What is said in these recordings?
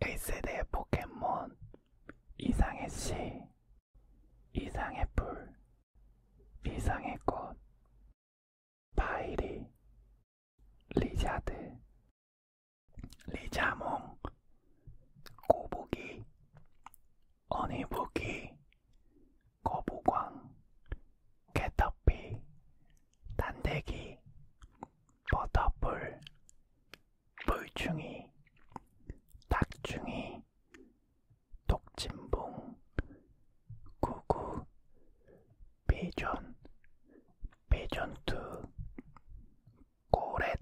1세대 포켓몬 이상의 씨, 이상의 불, 이상의 꽃, 파이리, 리자드, 리자몽, 꼬부기, 어니부기, 거부광, 캐터피, 단대기, 버터풀, 물충이, 닭충이, 독진봉, 구구, 비전, 비전투, 고렛,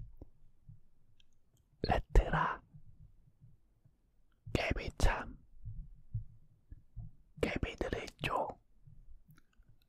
레트라, 깨비참, 깨비들의 쪽,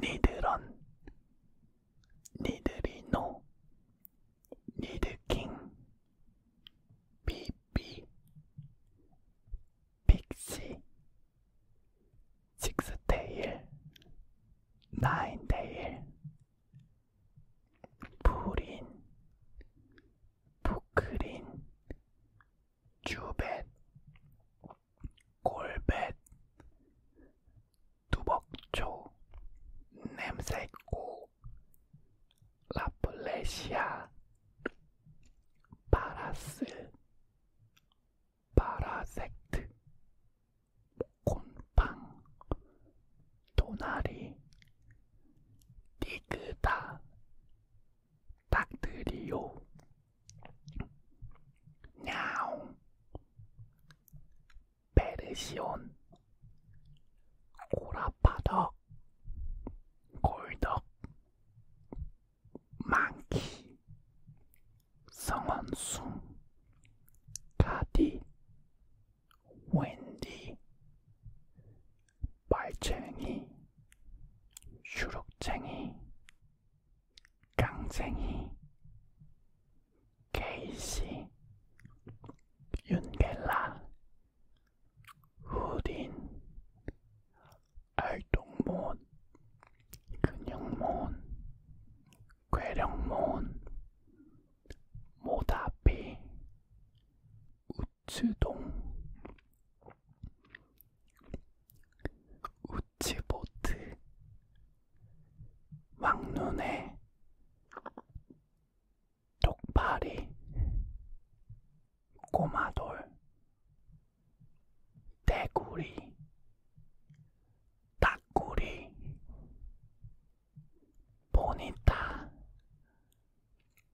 니드런 니드리노 니드킹 비비 픽시 식스테일 나인테일 부린 부크린 주벳 골벳 두벅초 냄새 있고 라플레시아 바라스 바라섹트 곤팡 도나리 디그다 닭들이요 냐옹 페르시온, 고라파덕, 골덕, 망키, 성원숭, 가디, 웬디, 말쟁이, 슈룩쟁이, 깡쟁이, 케이시, 윤겔라, 후딘, 알동몬, 근육몬, 괴력몬, 모다비, 우츠동, 우치보트, 왕눈에 똑파리 꼬마돌 대구리 딱구리 보니타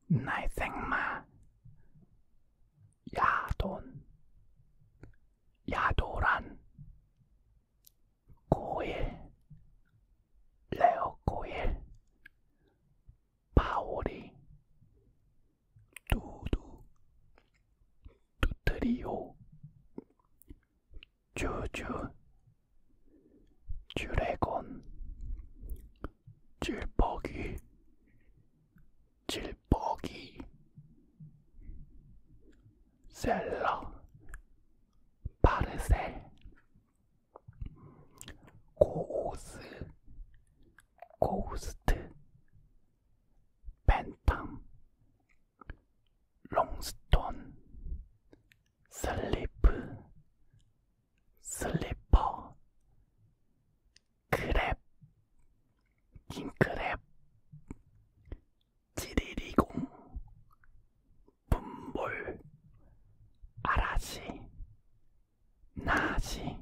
날생마 야돈 야도란 고일, 레오고일, 바오리, 두두, 두트리오, 주주, 주레곤, 질퍽이, 질퍽이, 셀러, 파르셀, 고오스, 고스트, 벤탐, 롱스톤, 슬리프, 슬리퍼, 크랩, 긴크랩, 지리리공 분볼 아라지 나지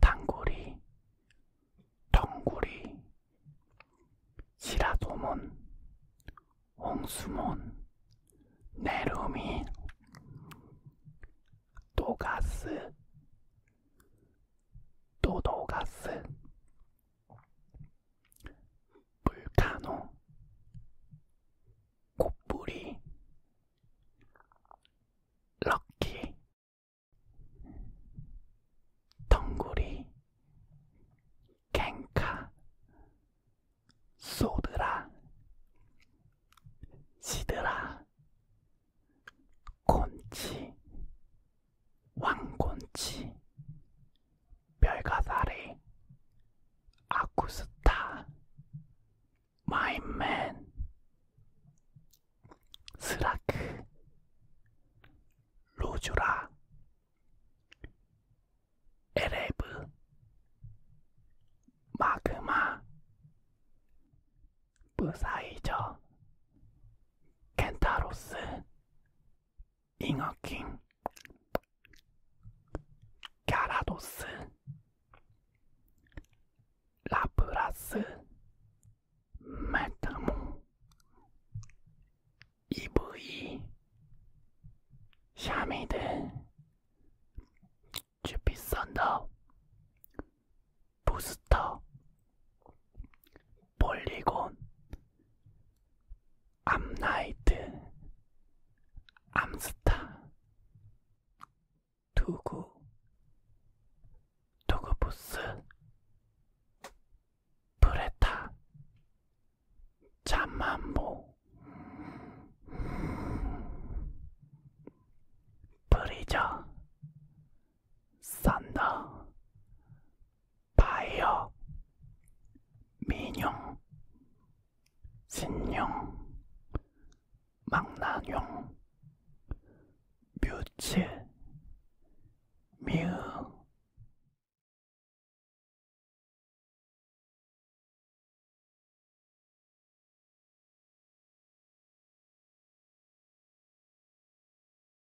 단구리 덩구리 시라도몬 홍수몬 네루미 도가스 도도가스 불카노 꽃뿌리 럭키 덩구리 캔카 소드라 시드라 곤치, 왕곤치, 별가사리, 아쿠스타, 마인맨, 스라크, 로주라, 에레브, 마그마, 부사이저, 켄타로스, 잉어킹, 갸라도스, 라브라스, 메타몽, 이브이, 샤미드, 주피썬더, 부스터, 폴리곤, 암나이트, 암스타, 투구, 투구부스, 브레타, 잠만보, 브리저, 산다 바이어 민용 신용 망나뇽 뮤츠 미으